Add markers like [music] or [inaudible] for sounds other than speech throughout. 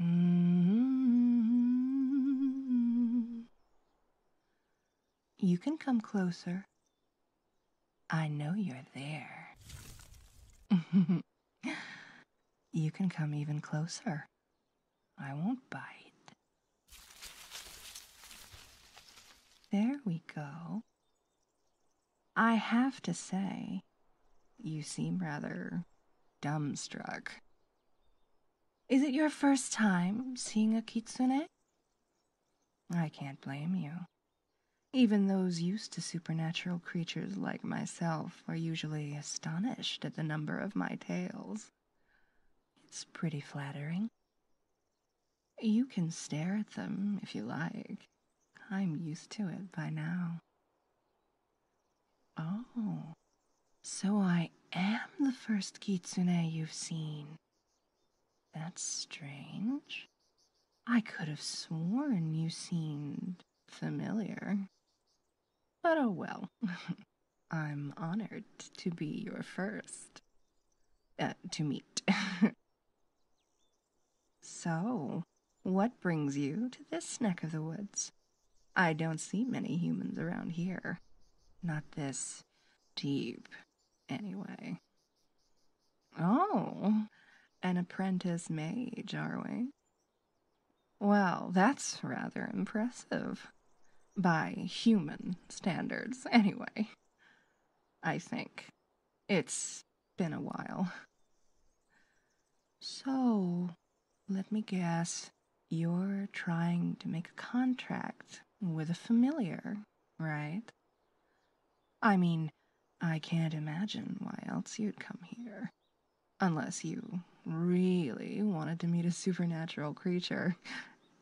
Mm-hmm. You can come closer. I know you're there. [laughs] you can come even closer. I won't bite. There we go. I have to say, you seem rather dumbstruck. Is it your first time seeing a kitsune? I can't blame you. Even those used to supernatural creatures like myself are usually astonished at the number of my tails. It's pretty flattering. You can stare at them if you like. I'm used to it by now. Oh, so I am the first kitsune you've seen. That's strange. I could have sworn you seemed familiar. But oh well, [laughs] I'm honored to be your first. Uh, to meet. [laughs] so, what brings you to this neck of the woods? I don't see many humans around here. Not this deep, anyway. Oh, an apprentice mage, are we? Well, that's rather impressive. By human standards, anyway. I think. It's been a while. So, let me guess, you're trying to make a contract with a familiar, right? I mean, I can't imagine why else you'd come here. Unless you really wanted to meet a supernatural creature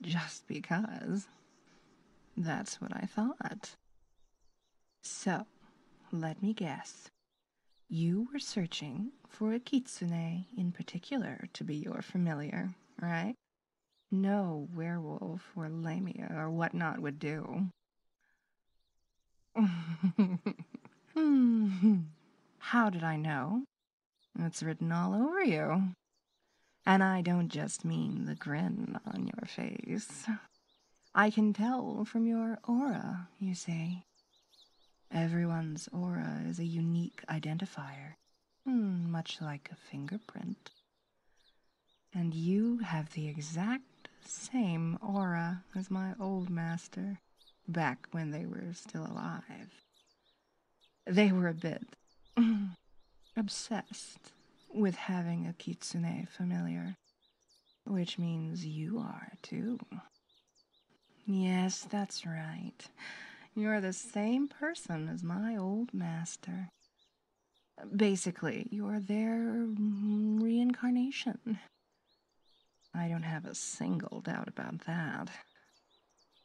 just because. That's what I thought. So, let me guess. You were searching for a kitsune in particular to be your familiar, right? No werewolf or lamia or whatnot would do. [laughs] Hmm. How did I know? It's written all over you. And I don't just mean the grin on your face. I can tell from your aura, you see. Everyone's aura is a unique identifier, hmm, much like a fingerprint. And you have the exact same aura as my old master, back when they were still alive. They were a bit [clears throat] obsessed with having a kitsune familiar, which means you are too. Yes, that's right. You're the same person as my old master. Basically, you're their reincarnation. I don't have a single doubt about that.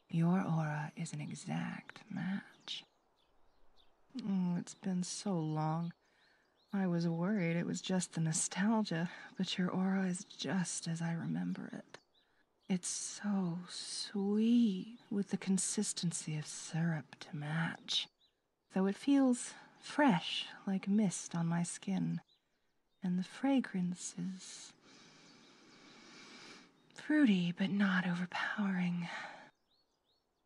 Your aura is an exact match. Oh, it's been so long. I was worried it was just the nostalgia, but your aura is just as I remember it. It's so sweet with the consistency of syrup to match, though it feels fresh like mist on my skin and the fragrance is Fruity, but not overpowering.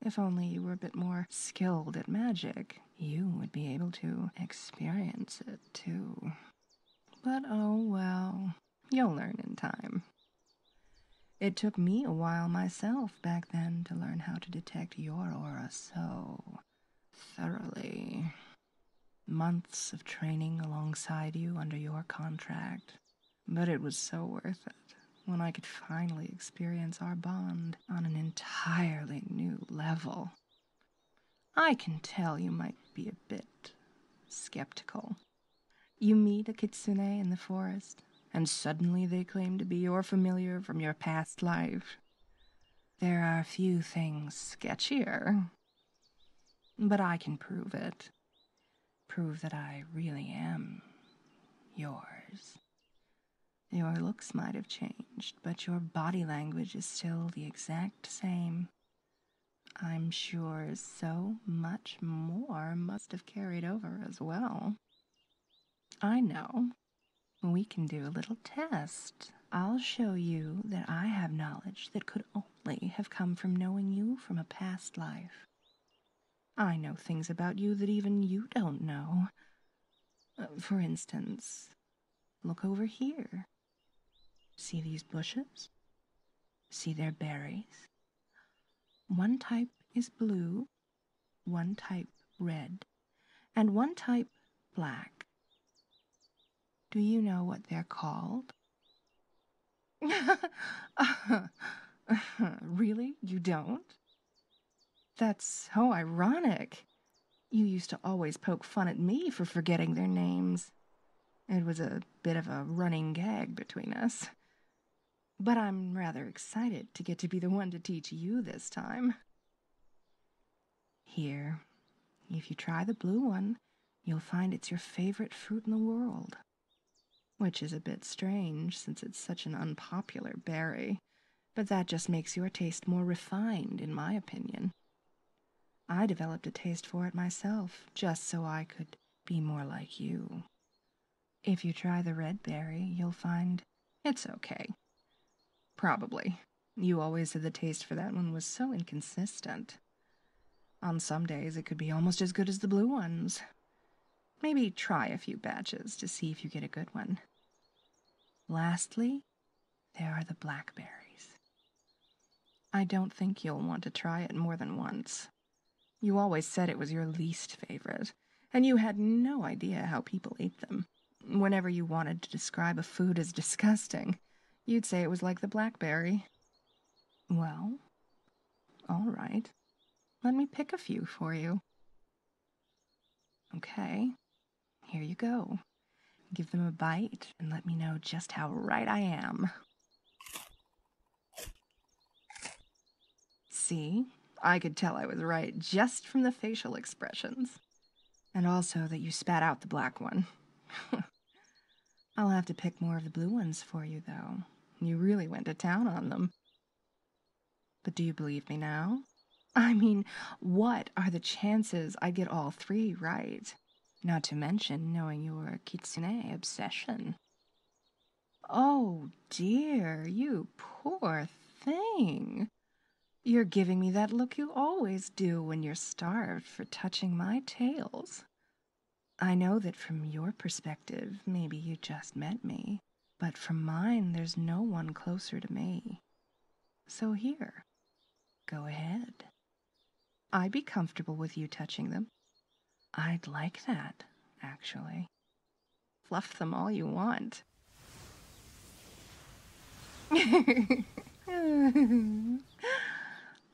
If only you were a bit more skilled at magic, you would be able to experience it too. But oh well, you'll learn in time. It took me a while myself back then to learn how to detect your aura so thoroughly. Months of training alongside you under your contract. But it was so worth it when I could finally experience our bond on an entirely new level. I can tell you might be a bit skeptical. You meet a kitsune in the forest, and suddenly they claim to be your familiar from your past life. There are few things sketchier but I can prove it. Prove that I really am yours. Your looks might have changed, but your body language is still the exact same. I'm sure so much more must have carried over as well. I know. We can do a little test. I'll show you that I have knowledge that could only have come from knowing you from a past life. I know things about you that even you don't know. Uh, for instance, look over here. See these bushes? See their berries? One type is blue, one type red, and one type black. Do you know what they're called? [laughs] really? You don't? That's so ironic. You used to always poke fun at me for forgetting their names. It was a bit of a running gag between us. But I'm rather excited to get to be the one to teach you this time. Here, if you try the blue one, you'll find it's your favorite fruit in the world. Which is a bit strange since it's such an unpopular berry, but that just makes your taste more refined, in my opinion. I developed a taste for it myself just so I could be more like you. If you try the red berry, you'll find it's okay. Probably. You always said the taste for that one was so inconsistent. On some days, it could be almost as good as the blue ones. Maybe try a few batches to see if you get a good one. Lastly, there are the blackberries. I don't think you'll want to try it more than once. You always said it was your least favorite, and you had no idea how people ate them whenever you wanted to describe a food as disgusting, you'd say it was like the blackberry. Well, all right. Let me pick a few for you. Okay, here you go. Give them a bite and let me know just how right I am. See, I could tell I was right just from the facial expressions. And also that you spat out the black one. [laughs] I'll have to pick more of the blue ones for you, though. You really went to town on them. But do you believe me now? I mean, what are the chances I get all three right? Not to mention knowing your kitsune obsession. Oh dear, you poor thing. You're giving me that look you always do when you're starved for touching my tails. I know that from your perspective, maybe you just met me, but from mine, there's no one closer to me. So here, go ahead. I'd be comfortable with you touching them. I'd like that, actually. Fluff them all you want. [laughs]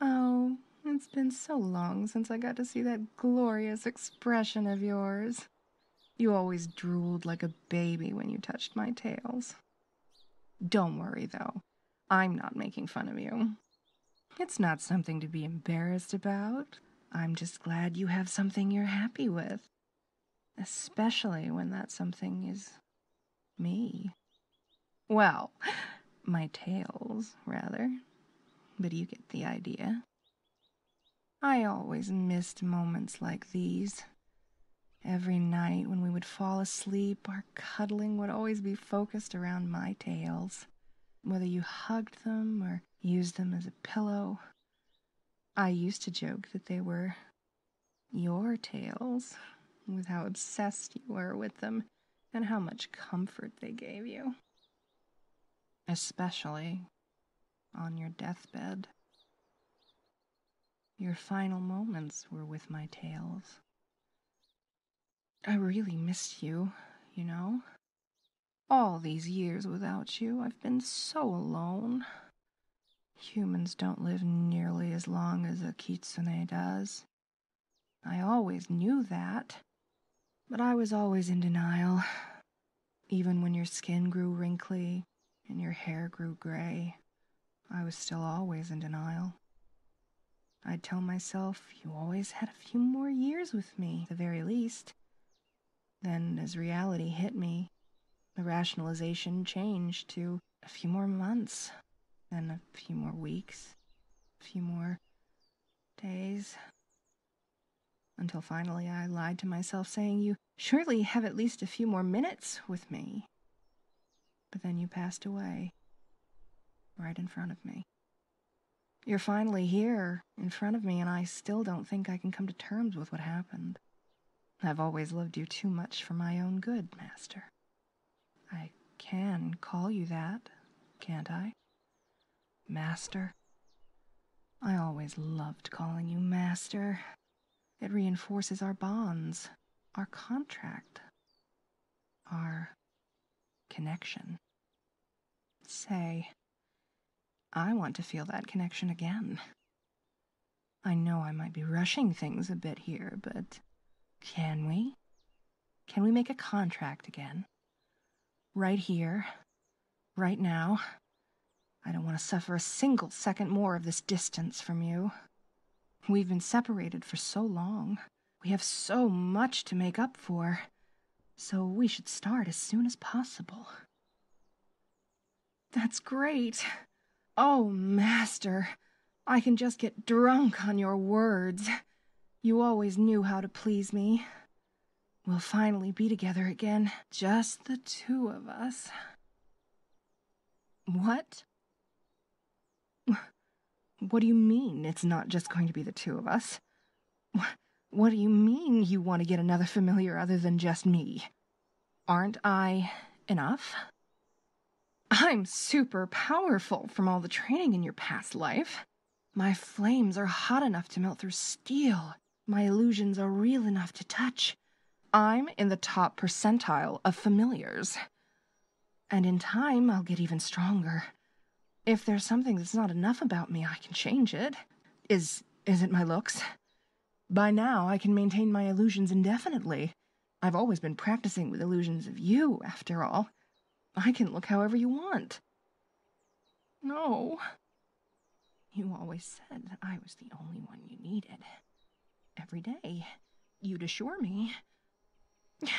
oh, it's been so long since I got to see that glorious expression of yours. You always drooled like a baby when you touched my tails. Don't worry, though. I'm not making fun of you. It's not something to be embarrassed about. I'm just glad you have something you're happy with. Especially when that something is me. Well, my tails, rather. But you get the idea. I always missed moments like these. Every night when we would fall asleep, our cuddling would always be focused around my tails. Whether you hugged them or used them as a pillow, I used to joke that they were your tales, with how obsessed you were with them and how much comfort they gave you. Especially on your deathbed. Your final moments were with my tales. I really missed you, you know. All these years without you, I've been so alone, Humans don't live nearly as long as a kitsune does. I always knew that, but I was always in denial. Even when your skin grew wrinkly and your hair grew gray, I was still always in denial. I'd tell myself, you always had a few more years with me, the very least. Then, as reality hit me, the rationalization changed to a few more months, then a few more weeks, a few more days. Until finally I lied to myself, saying, You surely have at least a few more minutes with me. But then you passed away, right in front of me. You're finally here, in front of me, and I still don't think I can come to terms with what happened. I've always loved you too much for my own good, Master. I can call you that, can't I? Master. I always loved calling you Master. It reinforces our bonds, our contract, our connection. Say, I want to feel that connection again. I know I might be rushing things a bit here, but can we? Can we make a contract again? Right here, right now. I don't want to suffer a single second more of this distance from you. We've been separated for so long. We have so much to make up for. So we should start as soon as possible. That's great. Oh, master, I can just get drunk on your words. You always knew how to please me. We'll finally be together again, just the two of us. What? What do you mean it's not just going to be the two of us? What do you mean you want to get another familiar other than just me? Aren't I enough? I'm super powerful from all the training in your past life. My flames are hot enough to melt through steel. My illusions are real enough to touch. I'm in the top percentile of familiars. And in time, I'll get even stronger. If there's something that's not enough about me, I can change it. Is is it my looks? By now I can maintain my illusions indefinitely. I've always been practicing with illusions of you, after all. I can look however you want. No. You always said that I was the only one you needed. Every day, you'd assure me. [sighs]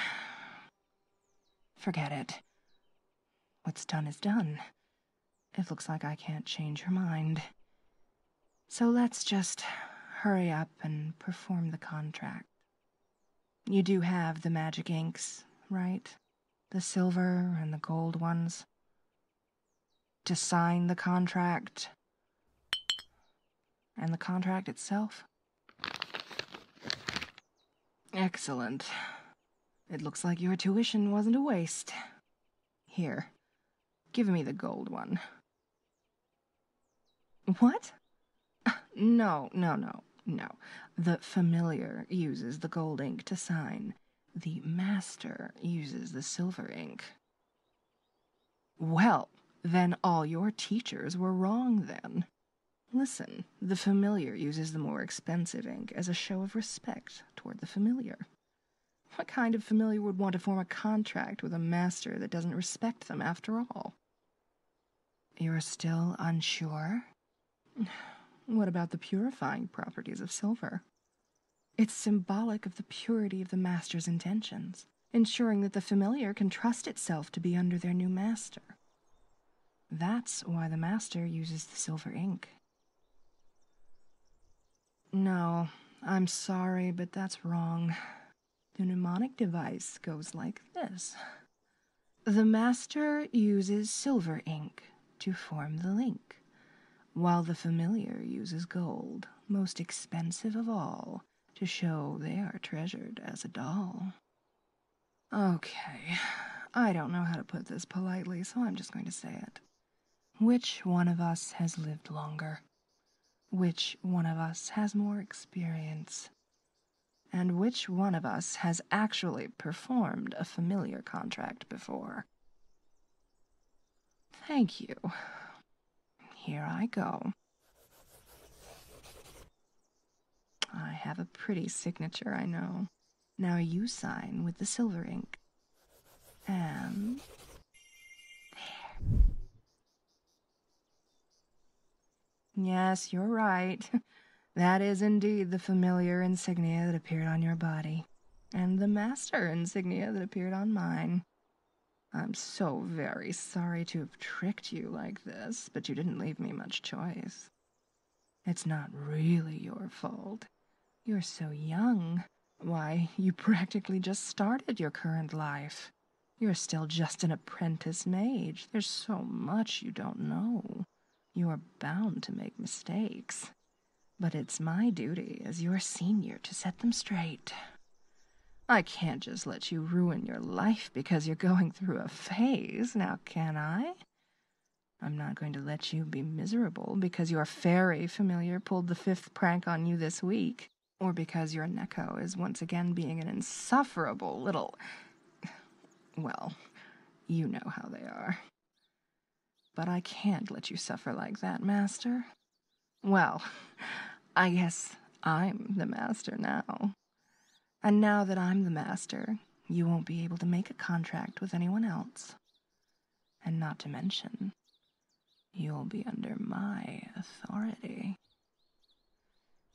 Forget it. What's done is done. It looks like I can't change her mind. So let's just hurry up and perform the contract. You do have the magic inks, right? The silver and the gold ones. To sign the contract. And the contract itself? Excellent. It looks like your tuition wasn't a waste. Here, give me the gold one. What? No, no, no, no. The familiar uses the gold ink to sign. The master uses the silver ink. Well, then all your teachers were wrong then. Listen, the familiar uses the more expensive ink as a show of respect toward the familiar. What kind of familiar would want to form a contract with a master that doesn't respect them after all? You're still unsure? What about the purifying properties of silver? It's symbolic of the purity of the master's intentions, ensuring that the familiar can trust itself to be under their new master. That's why the master uses the silver ink no, I'm sorry, but that's wrong. The mnemonic device goes like this The master uses silver ink to form the link, while the familiar uses gold, most expensive of all, to show they are treasured as a doll. Okay, I don't know how to put this politely, so I'm just going to say it. Which one of us has lived longer? Which one of us has more experience? And which one of us has actually performed a familiar contract before? Thank you. Here I go. I have a pretty signature, I know. Now you sign with the silver ink. And um, there. Yes, you're right. [laughs] That is indeed the familiar insignia that appeared on your body, and the master insignia that appeared on mine. I'm so very sorry to have tricked you like this, but you didn't leave me much choice. It's not really your fault. You're so young. Why, you [laughs] practically just started your current life. You're still just an apprentice mage. There's so much you don't know. You're bound to make mistakes. But it's my duty as your senior to set them straight. I can't just let you ruin your life because you're going through a phase, now can I? I'm not going to let you be miserable because your fairy familiar pulled the fifth prank on you this week, or because your Neko is once again being an insufferable little. Well, you know how they are. But I can't let you suffer like that, Master. Well, I guess I'm the Master now. And now that I'm the master, you won't be able to make a contract with anyone else. And not to mention, you'll be under my authority.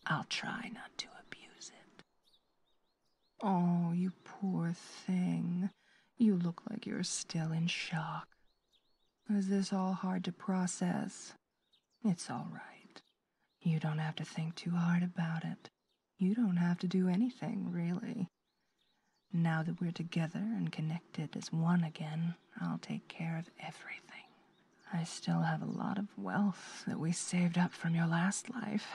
I'll try not to abuse it. Oh, you poor thing. You look like you're still in shock. Is this all hard to process? It's all right. You don't have to think too hard about it. You don't have to do anything, really. Now that we're together and connected as one again, I'll take care of everything. I still have a lot of wealth that we saved up from your last life.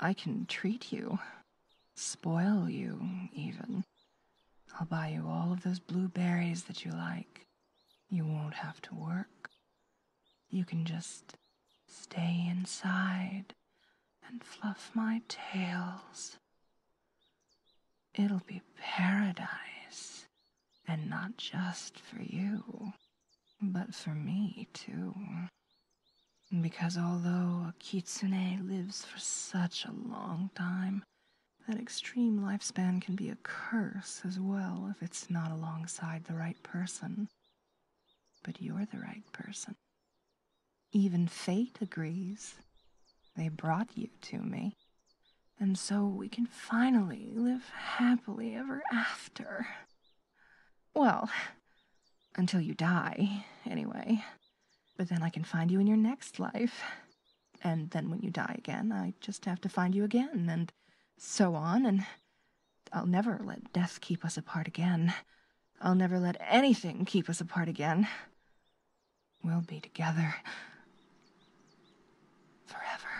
I can treat you, spoil you, even. I'll buy you all of those blueberries that you like. You won't have to work. You can just stay inside and fluff my tails. It'll be paradise, and not just for you, but for me too. Because although a kitsune lives for such a long time, that extreme lifespan can be a curse as well if it's not alongside the right person. But you're the right person. Even fate agrees. They brought you to me. And so we can finally live happily ever after. Well, until you die, anyway. But then I can find you in your next life. And then when you die again, I just have to find you again, and so on, and I'll never let death keep us apart again. I'll never let anything keep us apart again. We'll be together. Forever.